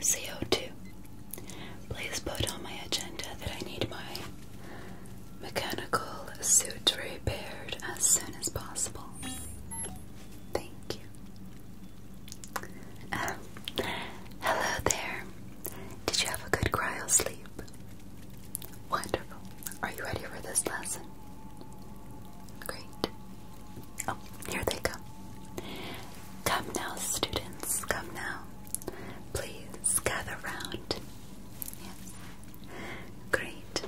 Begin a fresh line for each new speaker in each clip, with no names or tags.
CO2. Please put on my agenda that I need my mechanical suit repaired as soon as possible. Thank you. hello there. Did you have a good cryo sleep? Wonderful. Are you ready for this lesson? Great. Oh, here they come. Come now, students, come now. Please gather round. Yes. Great.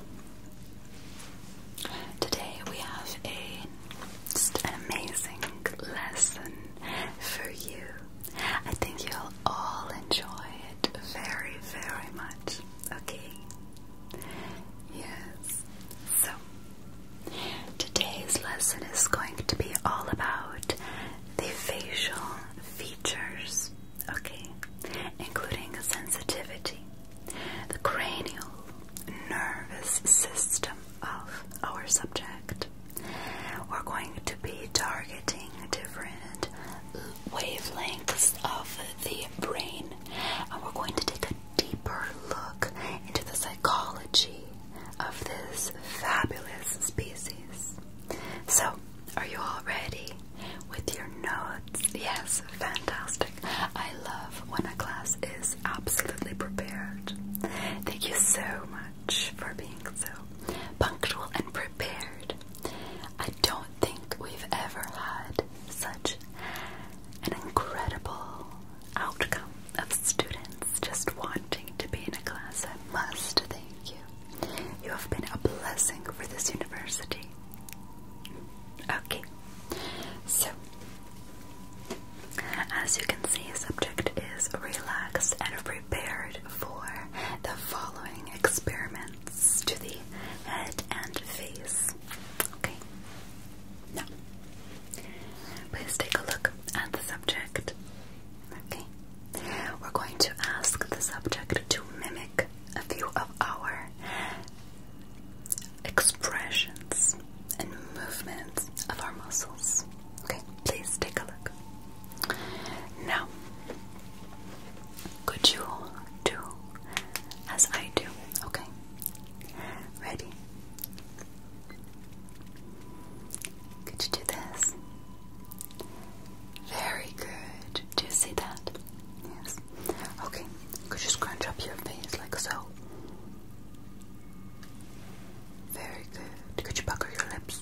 Today we have a just an amazing lesson for you. I think you'll all enjoy it very, very much. Okay? Yes. So, today's lesson is going to be all about the facial features, okay? Including sensitivity the cranial nervous system of our subject. We're going to be targeting different wavelengths of the brain, and we're going to take a deeper look into the psychology of this fabulous species. So, are you all ready? With your notes? Yes, fantastic. I love when a class is absolutely prepared. Thank you so much for being so punctual and prepared. I don't think we've ever had such an incredible outcome of students just wanting to be in a class. I must thank you. You have been a blessing for this university. Okay, so as you can see, the subject is relaxed and prepared for the following experiments to the head and face. Okay, now please take a look at the subject. Okay, we're going to ask the subject to mimic a few of our expressions and movements of our muscles. Okay, please take a look. Now, could you do as I do? Okay, ready? Could you do this? Very good. Do you see that? Yes. Okay, could you scrunch up your face like so? Very good. Could you pucker your lips?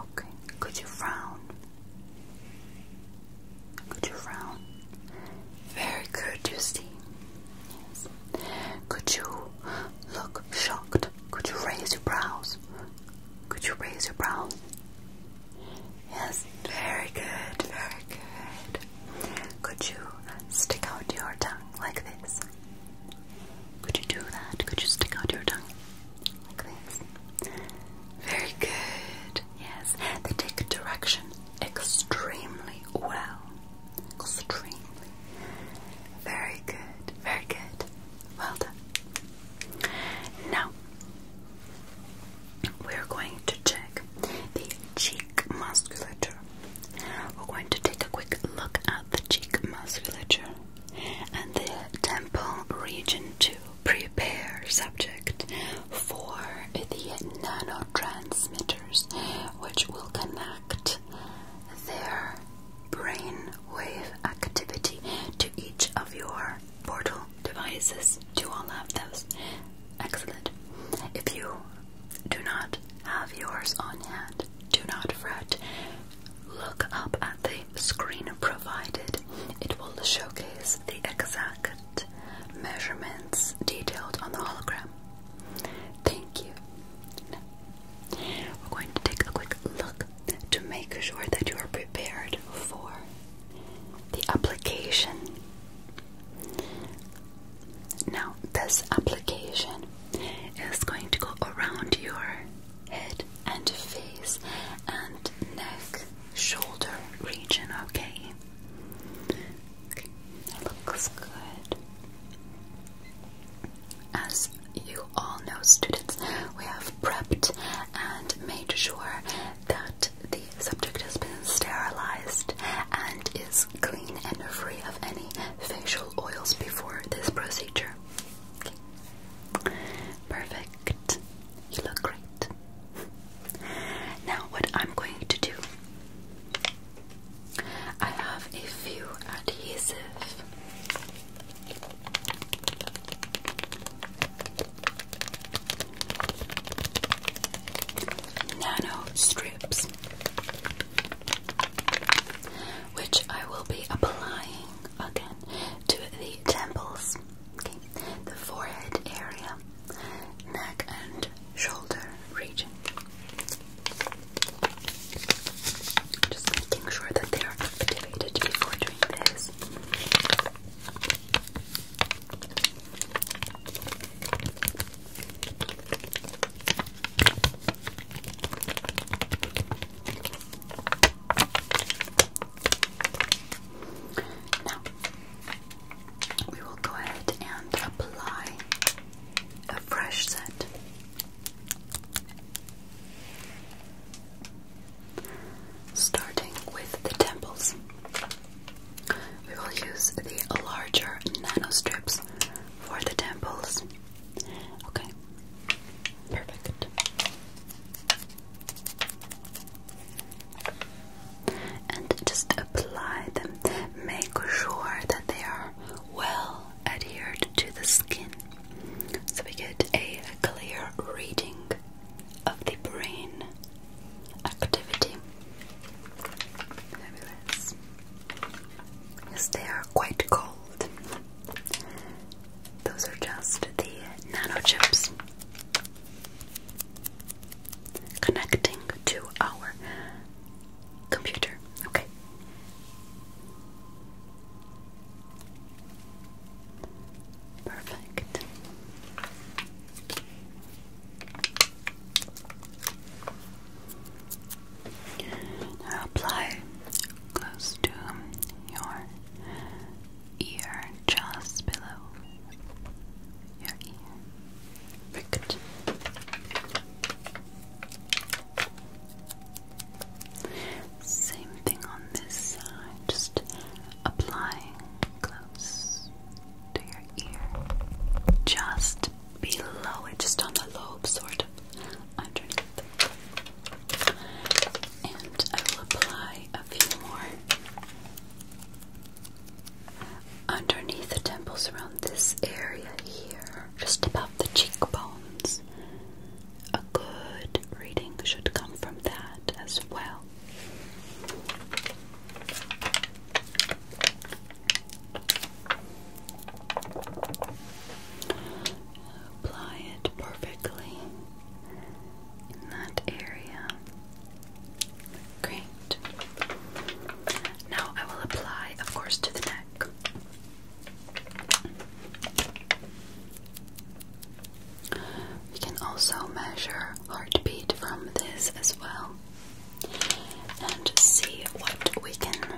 Okay. Could you frown? Could you frown? Very good, you Yes. Could you look shocked? Could you raise your brows? Could you raise your brows? Yes, very good, very good. Could you stick out your tongue like this? Could you do that? Could you stick out your tongue like this? Very good. Yes, they take direction extremely well. Extremely. Very good. Very good. Well done. Now, we're going to check the cheek musculature. We're going to take a quick look at the cheek musculature and the temple region to prepare subject for the nanotransmitters which will connect their brain wave activity to each of your portal devices. Do all have those? Excellent. If you do not have yours on hand, do not fret. Look up at the screen provided. It will showcase the exact measurements detailed on the hologram. Thank you. we're going to take a quick look to make sure that you are prepared for the application now, this application is going to go around your head and face and neck, shoulder region, okay? looks good. As you all know, students, we have prepped and made sure that the subject has been sterilized and is clean and free of any facial oils before this procedure. Perfect. You look great. Now, what I'm going to do, I have a few adhesive nano strips, which I will be applying again to the temples, the forehead area, neck and shoulder region. Just making sure that they are activated before doing this. Now, we will go ahead and apply a fresh set. Starting with the temples. We will use the larger nano strips for the temples. Okay, perfect. And just apply them. Make sure that they are well adhered to the skin so we get a clear reading of the brain activity. Fabulous. Yes, they are quite cold. Those are just the nano chips connecting to our computer. Okay. Perfect. Now apply close to your ear, just below your ear. Same thing on this side, just applying close to your ear, just below it, just on the lobe, sort of underneath. And I will apply a few more underneath the temples around this area here, just above the cheekbones. A good reading should come from that as well. Apply it perfectly in that area. Great. Now I will apply, of course, to the neck. We can also measure heartbeat from this as well and see what we can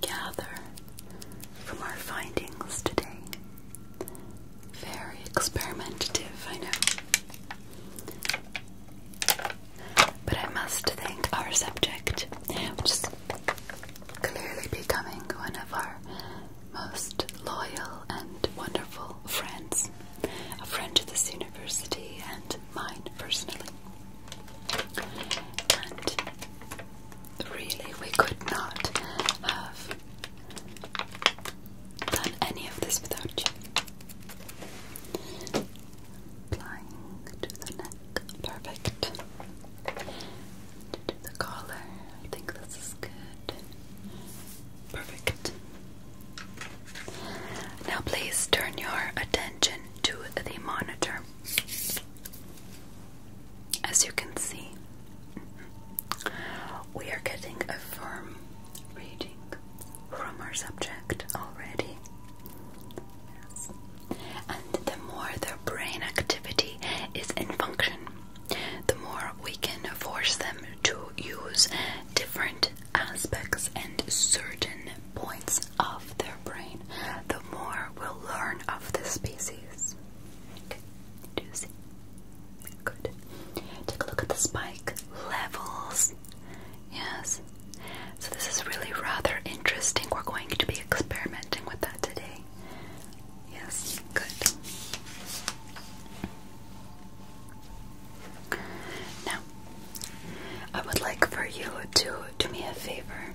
gather from our findings today. Very experimentative, I know. But I must thank our subject, which clearly becoming one of our most loyal and wonderful friends, a friend to this university and mine personally. And really, we could not have done any of this without you. Applying to the neck, perfect. To the collar, I think this is good. Perfect. Now, please turn your attention to the monitor. As you can see, we are getting a firm reading from our subject already. Yes. And the more their brain activity is in function, the more we can force them to use different aspects and certain points of their brain, the more we'll learn of the species. Okay. Do see? Good. Take a look at the spike levels. Yes. So this is really rather interesting. We're going to be experimenting with that today. Yes, good. Now, I would like for you to do me a favor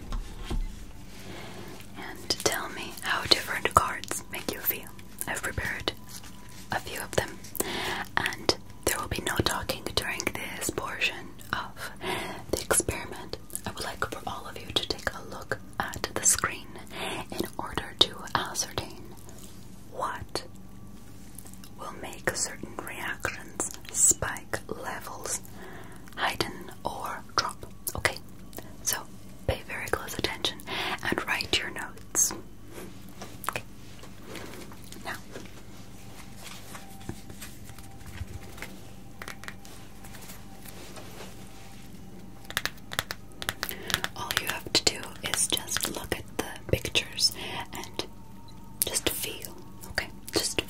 and tell me how different cards make you feel. I've prepared a few of them, and there will be no talking during this portion of the experiment. I would like for all of you to take a look at the screen in order to ascertain what will make certain reactions spike levels, heighten, or drop? Okay, so pay very close attention and write your notes. Okay, now. All you have to do is just look at the pictures and just feel, okay? Just feel.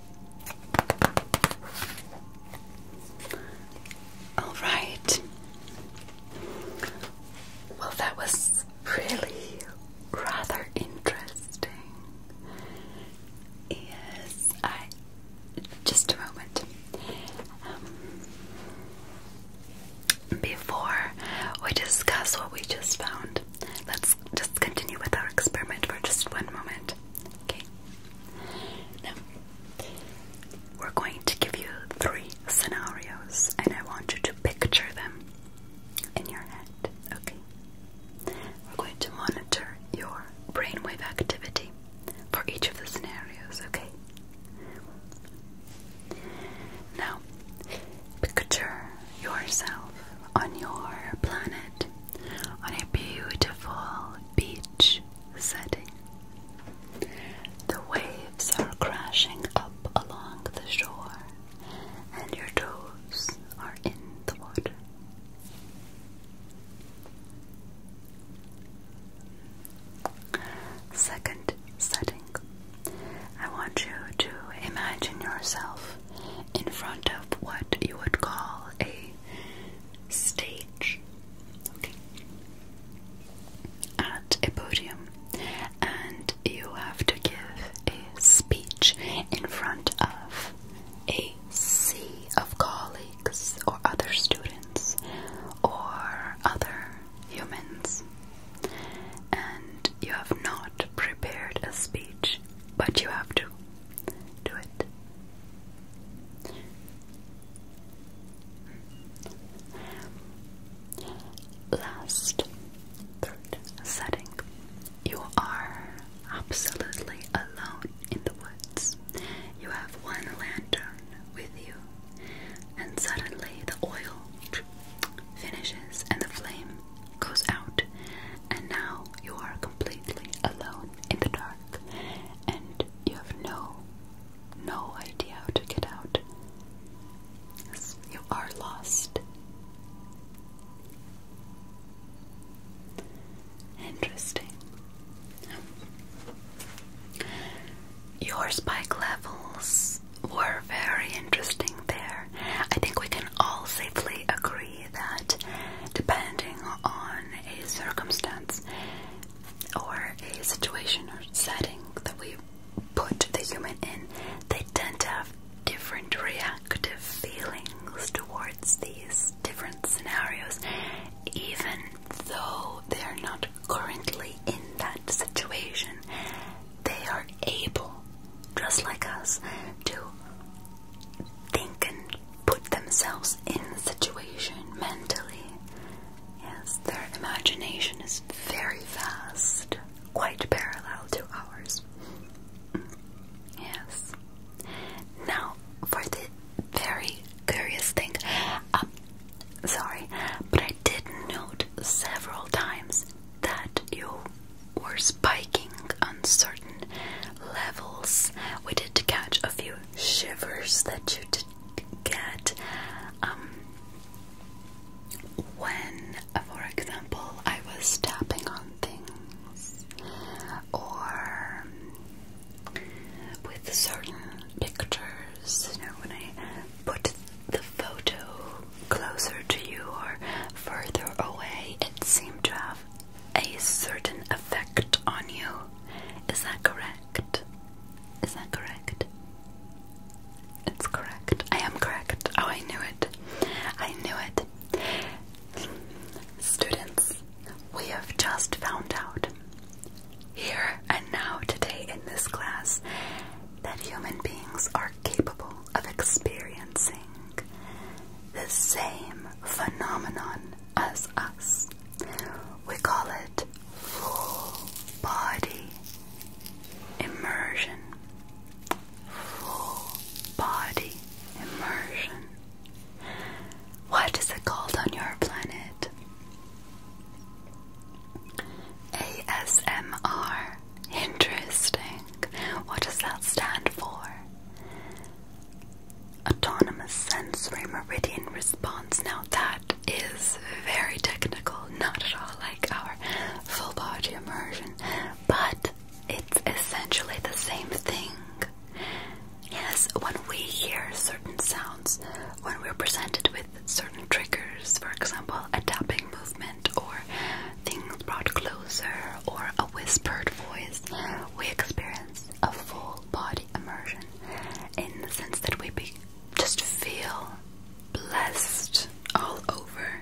All right. Well, that was really rather interesting. Yes, Just a moment. Um, before we discuss what we just found, let's just continue with our experiment for just one moment. Okay. Now, we're going to give you three scenarios, and I want you to picture them in your head. Okay. We're going to monitor your brainwave activity for each of the scenarios. Okay. Now, picture yourself on your planet on a beautiful beach setting. The waves are crashing up along the shore, and your toes are in the water. Second setting. I want you to imagine yourself in front of what you would call a stage, okay, at a podium, and you have to give a speech in front of a sea of colleagues or other students or other humans, and you have not prepared a speech, but you have to to it. Last, third setting. You are absolutely alone in the woods. You have one lantern with you, and suddenly the oil finishes and the flame goes out, and now you are completely alone in the dark and you have no no idea how to get out. You are lost. Interesting. Your spike levels were very interesting there. I think we can all safely agree that depending on a circumstance or a situation or setting that we put the human in, they tend to have different reactive feelings towards these different scenarios, even though they are not currently in that situation. They are able, just like us, to think and put themselves in the situation mentally. Yes, their imagination is very fast, quite parallel to ours. Yes. Now, for the very curious thing, um, sorry, but I did note several times that you were spiking on levels. We did catch a few shivers that you did get um, when, for example, I was tapping on things or with certain pictures, you know, when I put the photo closer to you or further away, it seemed to have a certain effect on you. Is that correct? Is that correct? It's correct. I am correct. Oh, I knew it. I knew it. Students, we have just found out here and now today in this class that human beings are capable of experiencing the same phenomenon as us. We call it full body immersion. Full body immersion. What is it called on your planet? ASMR. Interesting. What does that stand for? Autonomous sensory meridian response. Now, that is very technical, not at all like our full body immersion, but it's essentially the same thing. Yes, when we hear certain sounds, when we're presented with certain triggers, for example, a tapping movement or things brought closer or a whispered voice, we experience a full body immersion in the sense that we just feel blessed all over.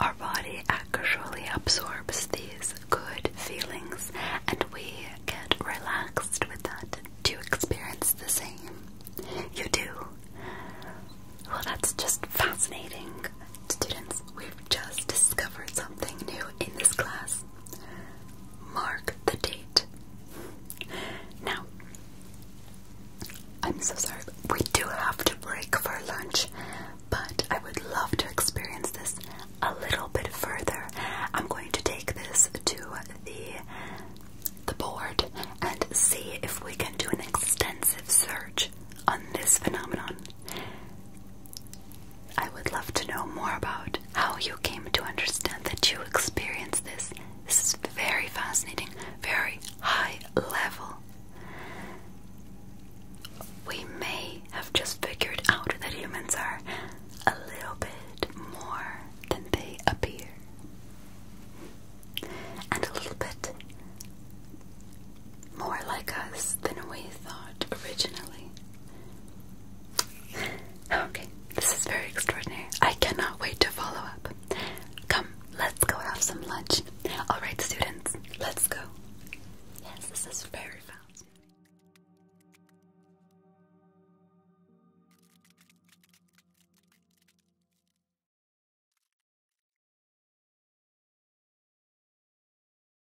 Our body actually absorbs these good feelings and we get relaxed with that. Do experience the same? You do? Well, that's just fascinating. Students, we've just discovered something new in this class. Mark the date. Now, I'm so sorry, we do have to break for lunch, but I would love to experience this a little bit further. I'm going to take this to the the board and see if we can do an extensive search on this phenomenon. I would love to know more about how you came to understand that you experience this. This is very fascinating, very high level. We may have just figured out that humans are a little bit more than they appear, and a little bit more like us than we thought originally okay, this is very extraordinary. I cannot wait to follow up. Come, let's go have some lunch. Alright, students, let's go. Yes, this is very fast.